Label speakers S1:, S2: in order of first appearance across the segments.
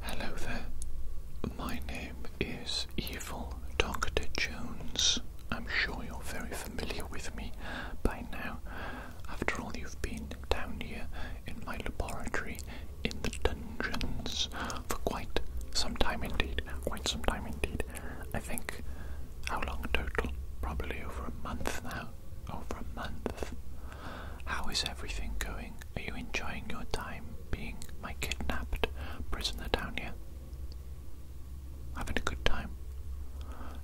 S1: Hello there. My name is Evil Dr. Jones. I'm sure you're very familiar with me by now. After all, you've been down here in my laboratory in the dungeons for quite some time indeed. Quite some time indeed. I think how long total? Probably over a month now. Over a month. How is everything going? Are you enjoying your time being my kidnapped prisoner down here? Having a good time?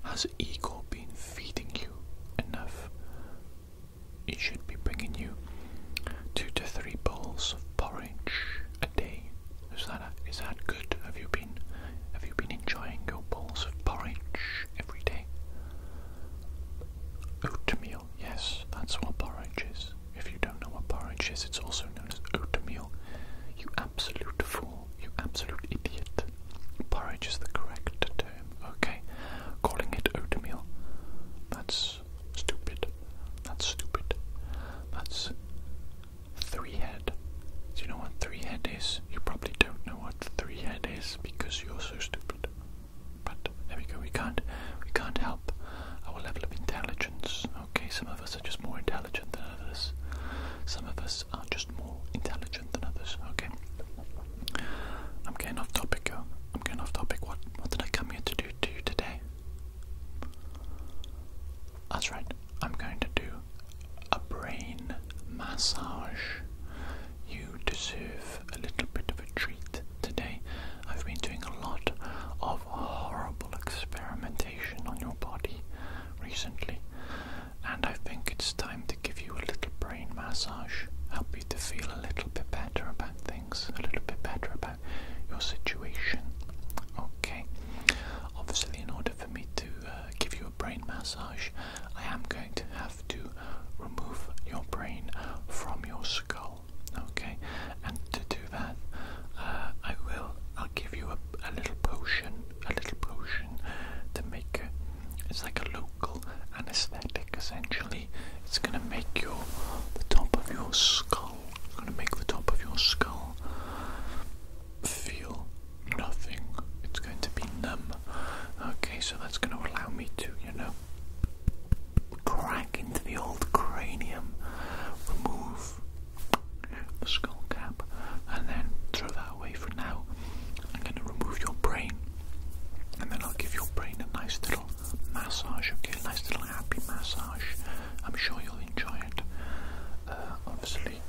S1: Has Igor been feeding you enough? He should be bringing you two to three bowls of porridge a day. Is that is that good? Have you been have you been enjoying your bowls of porridge every day? Oatmeal Yes, that's what porridge is. If you don't know what porridge is, it's also known as oatmeal. You absolute fool. You absolute idiot. Porridge is the correct term, okay? Calling it oatmeal. That's stupid. That's stupid. That's three head. Do you know what three head is? You probably don't know what three head is because you're so stupid. But there we go. We can't we can't help our level of intelligence. Okay, some of us are just more intelligent than others. Some of us are just more intelligent than others. Okay. I'm getting off topic. I'm getting off topic. What what did I come here to do to you today? That's right. I'm going to do a brain massage. You deserve a little bit of a treat today. I've been doing a lot of horrible experimentation on your body recently, and I think it's time to give you a little brain massage, help you to feel a little bit better about things, a little bit better about your situation. Okay, obviously, in order for me to uh, give you a brain massage, I am going to have to remove your brain from your skull. Okay, and to do that, uh, I will. I'll give you a, a little potion, a little potion to make a, It's like a local anesthetic, essentially. It's gonna make your the top of your skull. It's gonna make the top of your skull feel nothing. It's going to be numb. Okay, so that's gonna allow me to, you know, crack into the old cranium, remove the skull cap, and then throw that away for now. I'm going to remove your brain, and then I'll give your brain a nice little massage, okay? A nice little happy massage. I'm sure you'll enjoy it. Uh, obviously,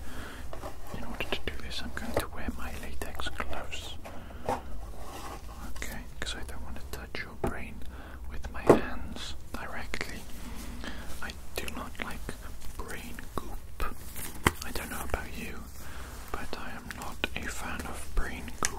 S1: in order to do this, I'm going to wear my latex gloves. Okay, because I don't want to touch your brain with my hands directly. I do not like brain goop. I don't know about you, but I am not a fan of brain goop.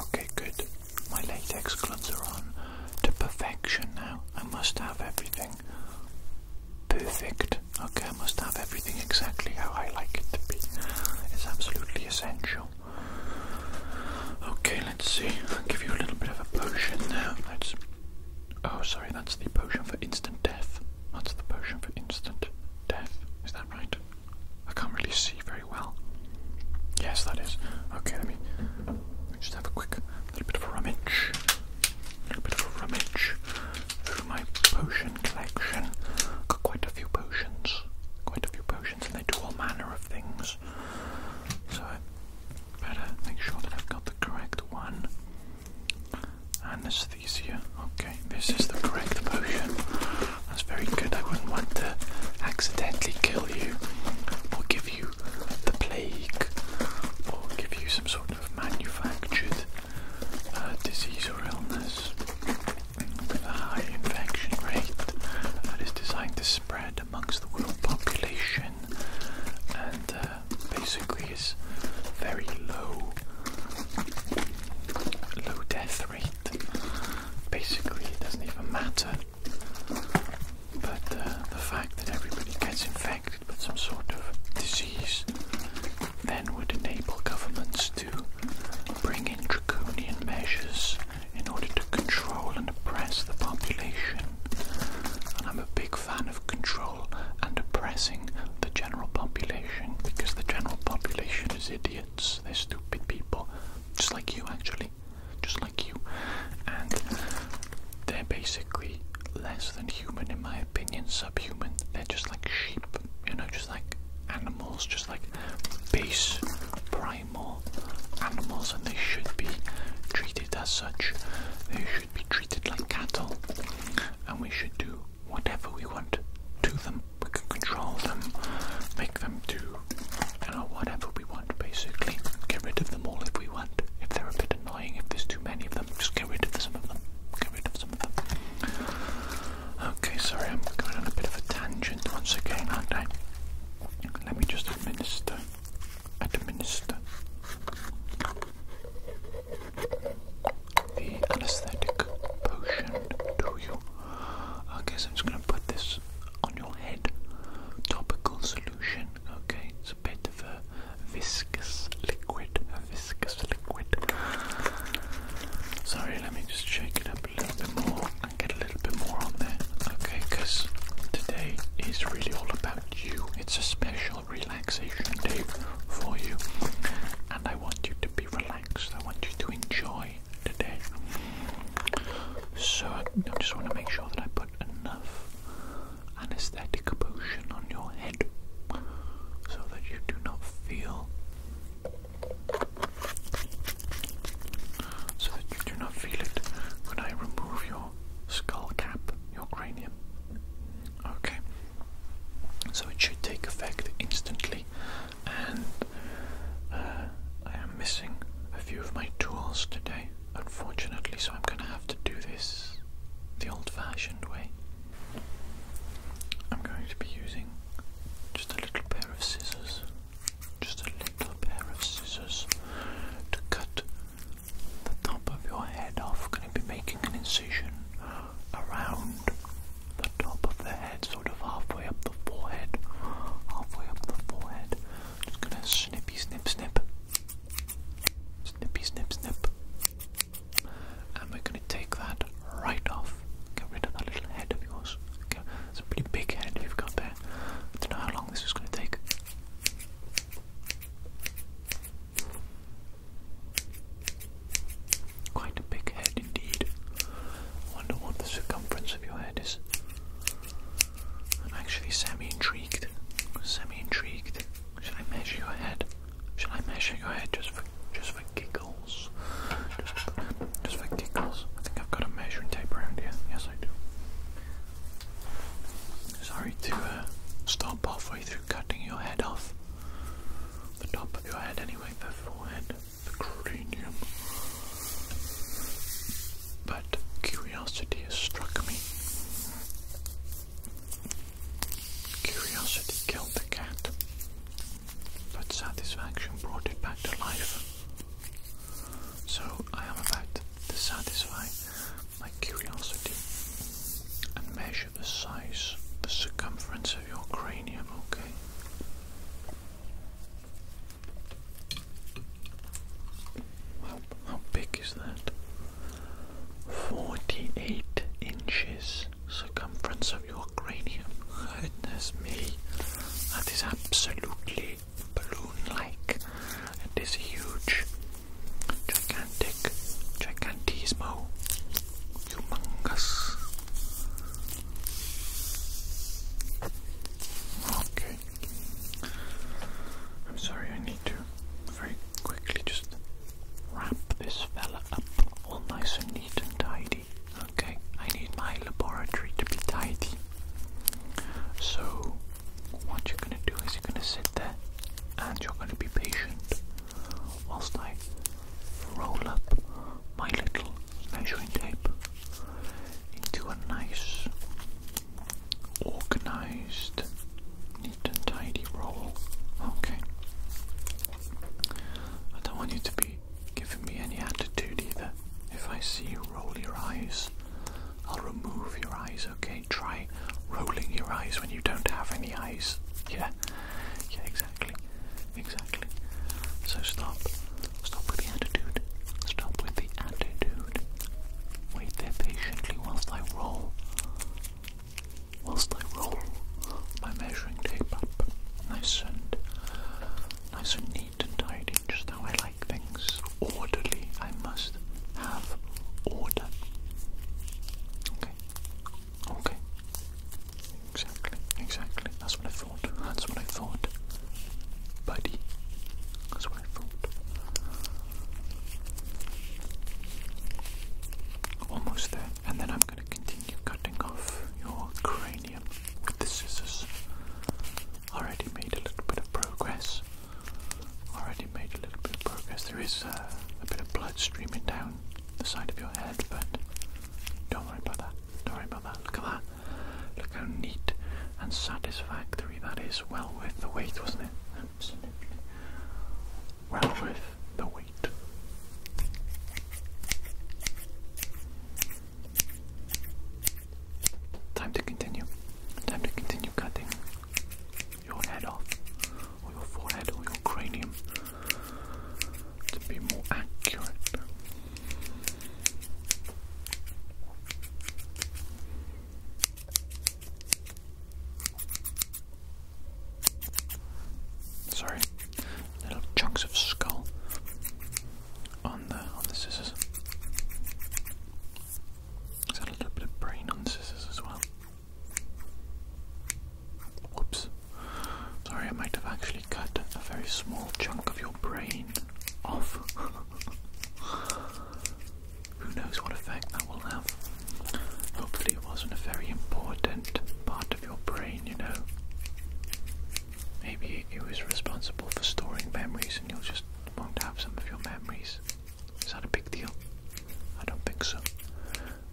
S1: Okay, good. My latex gloves are on to perfection now. I must have everything perfect. Okay, I must have everything exactly how I like it to be. It's absolutely essential. Okay, let's see. I'll give you a little bit of a potion now. That's. Oh, sorry, that's the potion for instant death. That's the potion for instant death. Is that right? I can't really see very well. Yes, that is. Okay, let me, just have a quick little bit of rummage. A little bit of rummage through my potion collection. Got quite a few potions. Quite a few potions, and they do all manner of things. So I better make sure that I've got the correct one. Anesthesia. Okay, this is the correct potion. That's very good. I wouldn't want to accidentally kill you or give you the plague or give you some sort of manufactured uh, disease or illness with a high infection rate that is designed to spread amongst the world population and uh, basically is very low low death rate. Basically, it doesn't even matter. But uh, the fact that everybody gets infected with some sort of disease then would enable governments to bring in draconian measures in order to control and oppress the population. And I'm a big fan of control and oppressing the general population because the general population is idiots. They're stupid people, just like you actually, just like you. And they're basically less than human, in my opinion, subhuman. They're just like sheep, you know, just like animals, just like base primal animals, and they should be treated as such. They should be treated like cattle, and we should do whatever we want to them we can control them, make them do you whatever we want basically. Get rid of them all if we want. If they're a bit annoying, if there's too many of them, just get rid of some of them. Get rid of some of them. Okay, sorry, I'm going on a bit of a tangent once again, aren't I? Let me just administer. Administer the anesthetic potion to you. Okay, so I'm just going to put this on your head. Topical solution, okay? It's a bit of a viscous liquid, a viscous liquid. Sorry, let me just shake it up a little bit more get a little bit more on there, okay? Because today is really all about you. It's a special relaxation day for you, and I want you to be relaxed. I want you to enjoy today. So I, I just want to make sure that I put enough anesthetic potion on your head so that you do not feel so that you do not feel it when I remove your skull cap, your cranium. Okay. So it should take effect instantly and uh, I am missing a few of my tools today, unfortunately, so I'm going to have to do this the old fashioned way. I'm going to be using just a little pair of scissors, just a little pair of scissors to cut the top of your head off. Going to be making an incision around the top of the head, sort of halfway up the forehead. Halfway up the forehead. Just gonna snip, snip, snip. snip, snip, snip. snip, And we're gonna take that right off. Get rid of that little head of yours. Okay. It's a pretty big head you've got there. I don't know how long this is gonna take. Quite a big head indeed. I wonder what the circumference of your head is. I'm actually semi intrigued. Semi intrigued. Should I measure your head? Should I measure your head just for just for giggles? Just, for giggles. I think I've got a measuring tape around here. Yes, I do. Sorry to uh, stop halfway through cutting your head off. The top of your head, anyway, the forehead the But curiosity has struck me. Curiosity killed the cat, but satisfaction brought it back to life. So I am about to satisfy my curiosity and measure the size, the circumference your cranium, okay? How, big is that? 48 inches circumference of your cranium. Goodness me, that is absolutely balloon like. It is huge, gigantic, gigantismo, humongous. Okay. I'm sorry, I need to very quickly just wrap this fella up all nice and neat and tidy. Okay, I need my laboratory to be tidy. So, what you're gonna do is you're gonna sit there and you're gonna be patient whilst I roll up my little measuring tape into a nice, organized, neat and tidy roll. Okay. I don't want you to be giving me any attitude either. If I see you roll your eyes, I'll remove your eyes, okay? Try rolling your eyes when you don't have any eyes. Yeah, yeah, exactly exactly. So stop. Stop with the attitude. Stop with the attitude. Wait there patiently whilst I roll. Whilst I roll my measuring tape up. Nice and nice and neat and tidy, just how I like things. Orderly. I must have order. Okay. Okay. Exactly, exactly. That's what I thought. That's what I thought. Buddy. That's what I thought. Almost there. And then I'm going to continue cutting off your cranium with the scissors. Already made a little bit of progress. Already made a little bit of progress. There is uh, a bit of blood streaming down the side of your head, but don't worry about that. Don't worry about that. Look at that. Look how neat and satisfactory that is. Well worth the wait, wasn't it? Well worth the wait. Time to continue. Time to continue cutting your head off, or your forehead, or your cranium to be more accurate. Sorry, little chunks of skull on the on the scissors. Is that a little bit of brain on the scissors as well? Whoops. Sorry, I might have actually cut a very small chunk of your brain off. Who knows what effect that will have? Hopefully, it wasn't a very important part of your brain, you know. Maybe it was responsible for storing memories and you'll just won't have some of your memories. Is that a big deal? I don't think so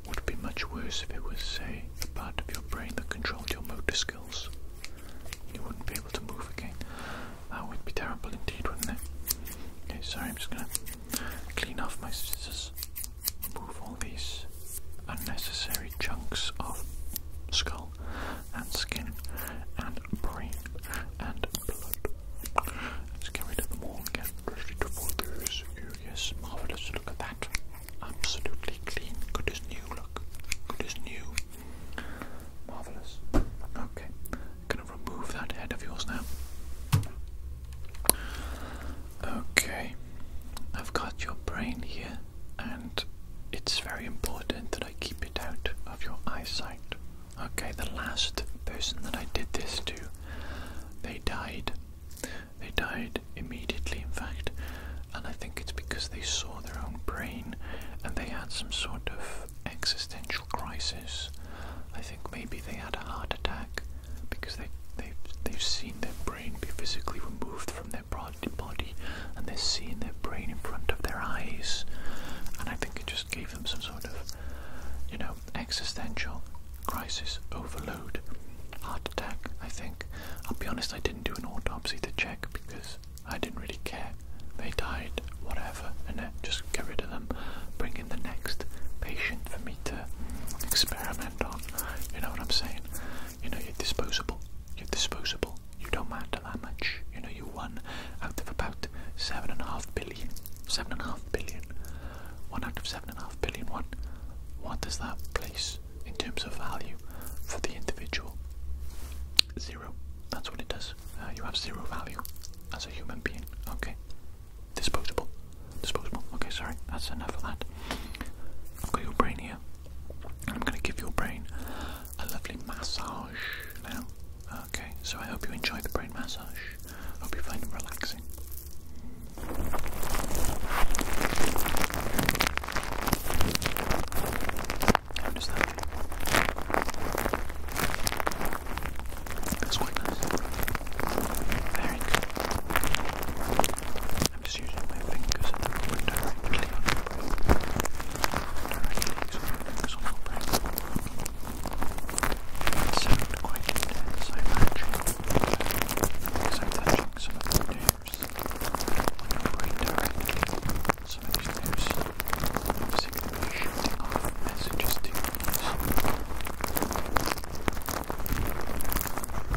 S1: would be much worse if it was, say, the part of your brain that controlled your motor skills. You wouldn't be able to move again. That ah, would be terrible indeed, wouldn't it? Okay, sorry, I'm just gonna clean off my scissors, remove all these unnecessary chunks of skull and skin and brain and blood. Let's get rid of them all and get ready to fall through. Yes, marvellous, look at that absolutely clean, good as new, look, good as new, marvellous. Okay, I'm going to remove that head of yours now. Okay, I've got your brain here, and it's very important that I keep it out of your eyesight. Okay, the last person that I did this to, they died. They died immediately, in fact, and I think it's because they saw their own brain and they had some sort of existential crisis. I think maybe they had a heart attack because they, they, they've seen their brain be physically removed from their body and they're seeing their brain in front of their eyes. And I think it just gave them some sort of, you know, existential crisis overload. Heart I think. I'll be honest, I didn't do an autopsy to check because I didn't really care. They died, whatever, and just get rid of them. Bring in the next patient for me to experiment on. You know what I'm saying? You know, you're disposable. You're disposable. You don't matter that much. You know, you won out of about seven and a half billion. Seven and a half billion. One out of seven and a half billion. What? What does that place in terms of value for the individual? Zero. That's what it does. Uh, you have zero value as a human being. Okay. Disposable. Disposable. Okay, sorry. That's enough of that. I've got your brain here. I'm going to give your brain a lovely massage now. Okay, so I hope you enjoy the brain massage. Hope you find it relaxing. How does that feel? That's quite nice. Very good. I'm just using my fingers at the moment directly on your brain. Directly my fingers on your brain. It sounds quite intense, I imagine. Because I'm touching some of the redirecting some engineers obviously going to be shooting off messages to users.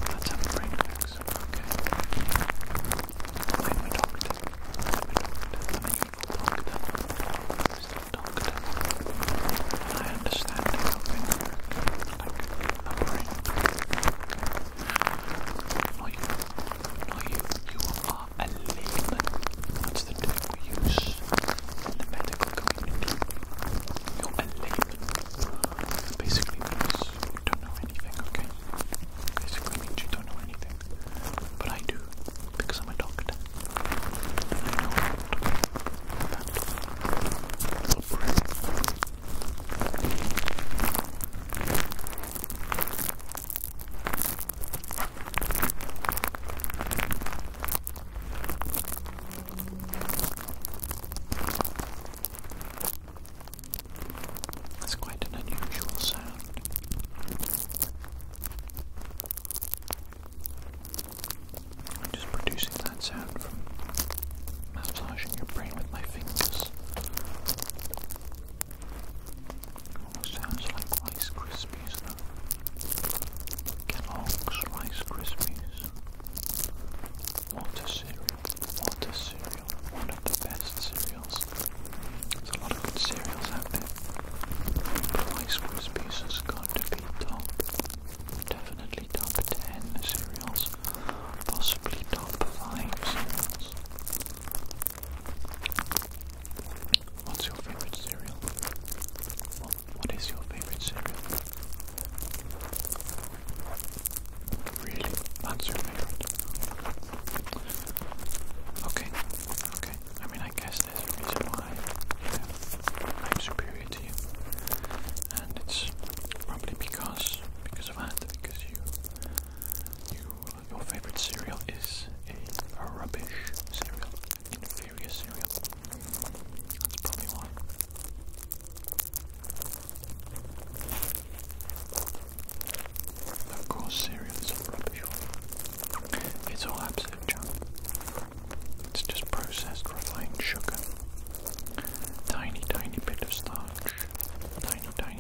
S1: Let's have a brain fix, okay? Let me talk to them. Let me talk to them. And you will talk to them. You still talk to them. And I understand how things work. Like, a brain. No, you, no, you, you are a layman. That's the term we use in the medical community. You're a layman. Basically means you don't know anything, okay? Basically means you don't know anything. But I do, because I'm a doctor. That's quite an unusual sound. I'm just producing that sound from massaging your brain with my fingers this. Almost sounds like Rice Krispies Kellogg's Rice Krispies. Water cereal. Water cereal. One of the best cereals. There's a lot of good cereals out there. But Rice Krispies has got to be top. Definitely top 10 cereals possibly top 5 What's your favorite cereal? what is your favorite cereal? Really? That's your favorite? Okay, okay. I mean, I guess there's a reason why I'm superior to you. And it's probably because because because you, your favorite cereal is a, rubbish cereal, inferior cereal. That's probably why. Of course, cereal is rubbish. It's all absolute junk. It's just processed refined sugar. Tiny, tiny bit of starch tiny,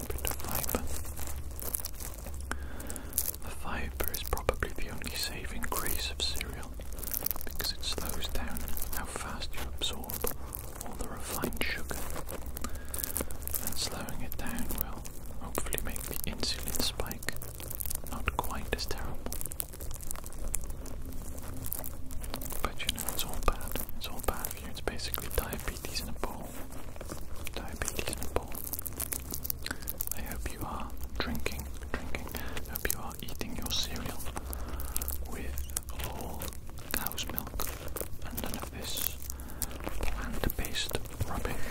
S1: The fiber is probably the only saving grace of cereal because it slows down how fast you absorb all the refined sugar. And slowing it down will hopefully make the insulin spike not quite as terrible. But it's all bad. It's all bad it's basically diabetes in a bowl. Diabetes in a bowl. I hope you are drinking, drinking. I hope you are eating your cereal with whole cow's milk and none of this plant-based rubbish.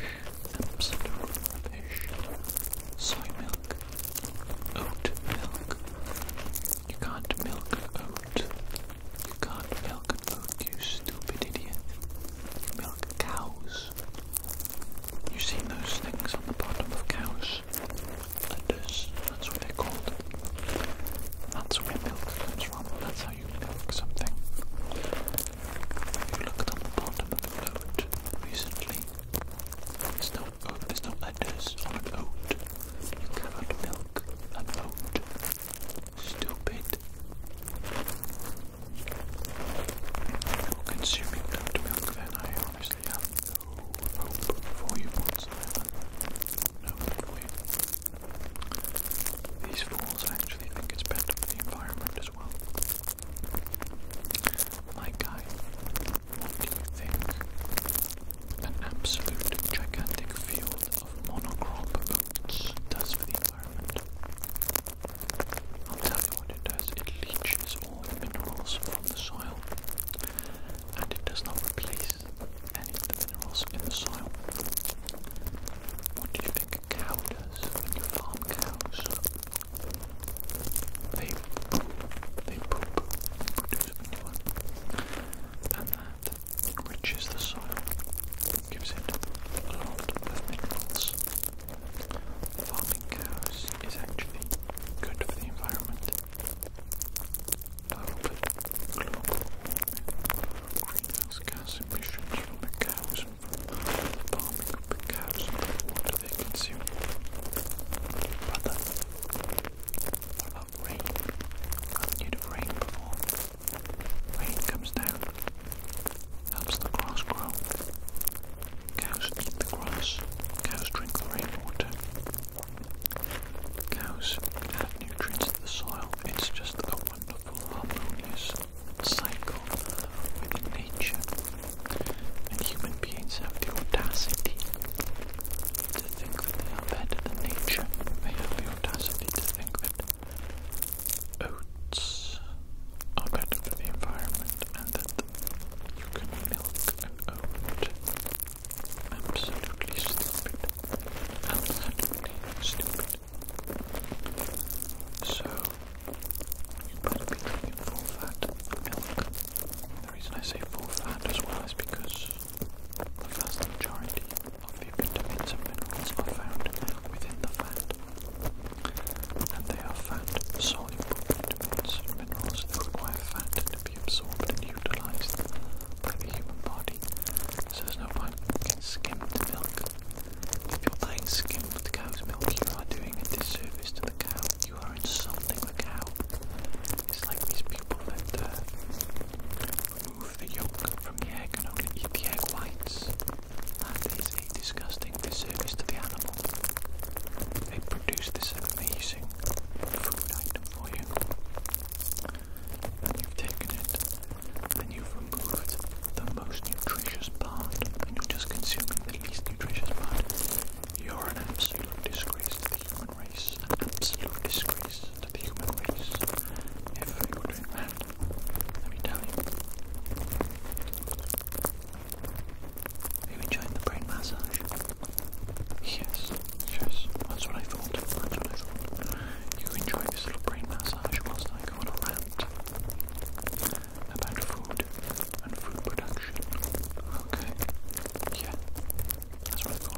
S1: Absolute rubbish. Soy milk, oat milk, you can't milk an oat. You can't milk an oat, you stupid idiot. You milk cows. You've seen those things on the bottom of cows? Udders, that's what they're called. That's where milk comes from. That's how you milk something. you looked on the bottom of an oat recently, there's no oat, there's no udders on an oat. You cannot milk an oat. Stupid. You're consuming that milk then I honestly have no hope for you No hope These fools actually think it's better for the environment as well. My guy, what do you think? An absolute gigantic fuel of monocrop oats does for the environment. I'll tell you what it does. It leaches all the minerals from the soil and it does not replace any of the minerals in the soil. What do you think a cow does when you farm cows? They They poop. They produce and that enriches the soil, gives it a lot of minerals. Farming cows is actually good for the environment. Low global warming, greenhouse gas emissions from the cows and from the farming they consume. Rather, rain, due to rain before. Rain comes down, helps the grass grow. Cows eat the grass, cows drink the rainwater. Cows add nutrients to the soil. It's just a wonderful, harmonious cycle within nature. And human beings have the audacity to think that they are better than nature. They have the audacity to think that oats are better for the environment and that you can milk an oat. Absolutely stupid. Absolutely stupid. So, you better be drinking full fat milk. The reason I say full fat as well is because the vast majority of vitamins and minerals are found within the fat, and they are found soluble vitamins and minerals that require fat to be absorbed and utilized by the human body. So there's no point in skimmed milk. If you're buying skimmed cow's milk, you are doing a disservice to the cow. You are insulting the cow. It's like these people that uh, remove the yolk from the egg and only eat the egg whites. That is a disgusting disservice to the animal. They produce this amazing food item for you. And you've taken it, and you've removed the most nutritious part, and you're just consuming the least nutritious part. You're an absolute disgrace to the human race, an absolute disgrace to the human race. If they were doing that, let me tell you. you enjoying the brain massage? Yes, yes, that's what I thought. You enjoy this little brain massage whilst I go on about food and food production. Okay. Yeah. That's what I thought.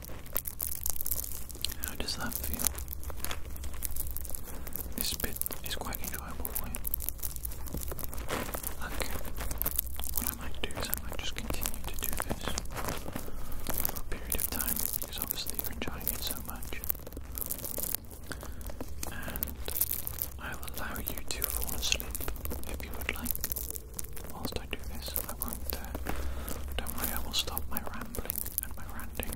S1: How does that feel? This bit is quite enjoyable for you. Okay. What I might do is I might just continue to do this for a period of time because obviously you're enjoying it so much. And I will allow you to fall asleep if you would like. Whilst I do this, I won't. Uh, don't worry, I will stop my rambling and my ranting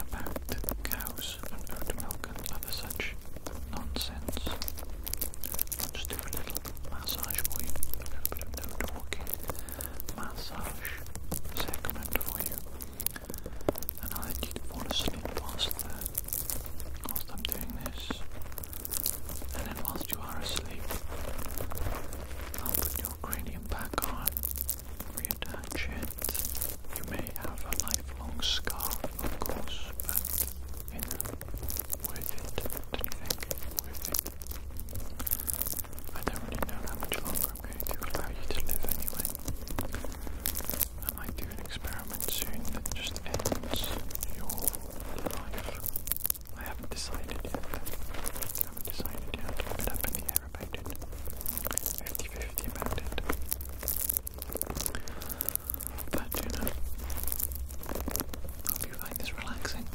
S1: about cows and oat milk and other such nonsense. I'll just do a little massage for you, a little bit of no talking massage segment for you, and I'll let you fall asleep whilst, the, uh, whilst I'm doing this. And then, whilst you are asleep, I'll put you cranium back on. Reattach it. You may have a lifelong scar, of course, but you it. do you think? Worth it. I don't really know how much longer I'm going to allow you to live anyway. I might an experiment soon that just ends your life. I haven't decided yet. I haven't decided yet. I've up in the 50 50 about it. But hope you find this relaxing.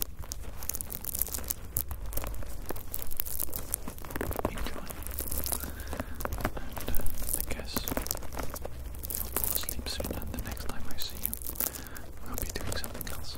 S1: Enjoy. And uh, I guess you'll fall asleep soon, and the next time I see you, I'll be doing something else.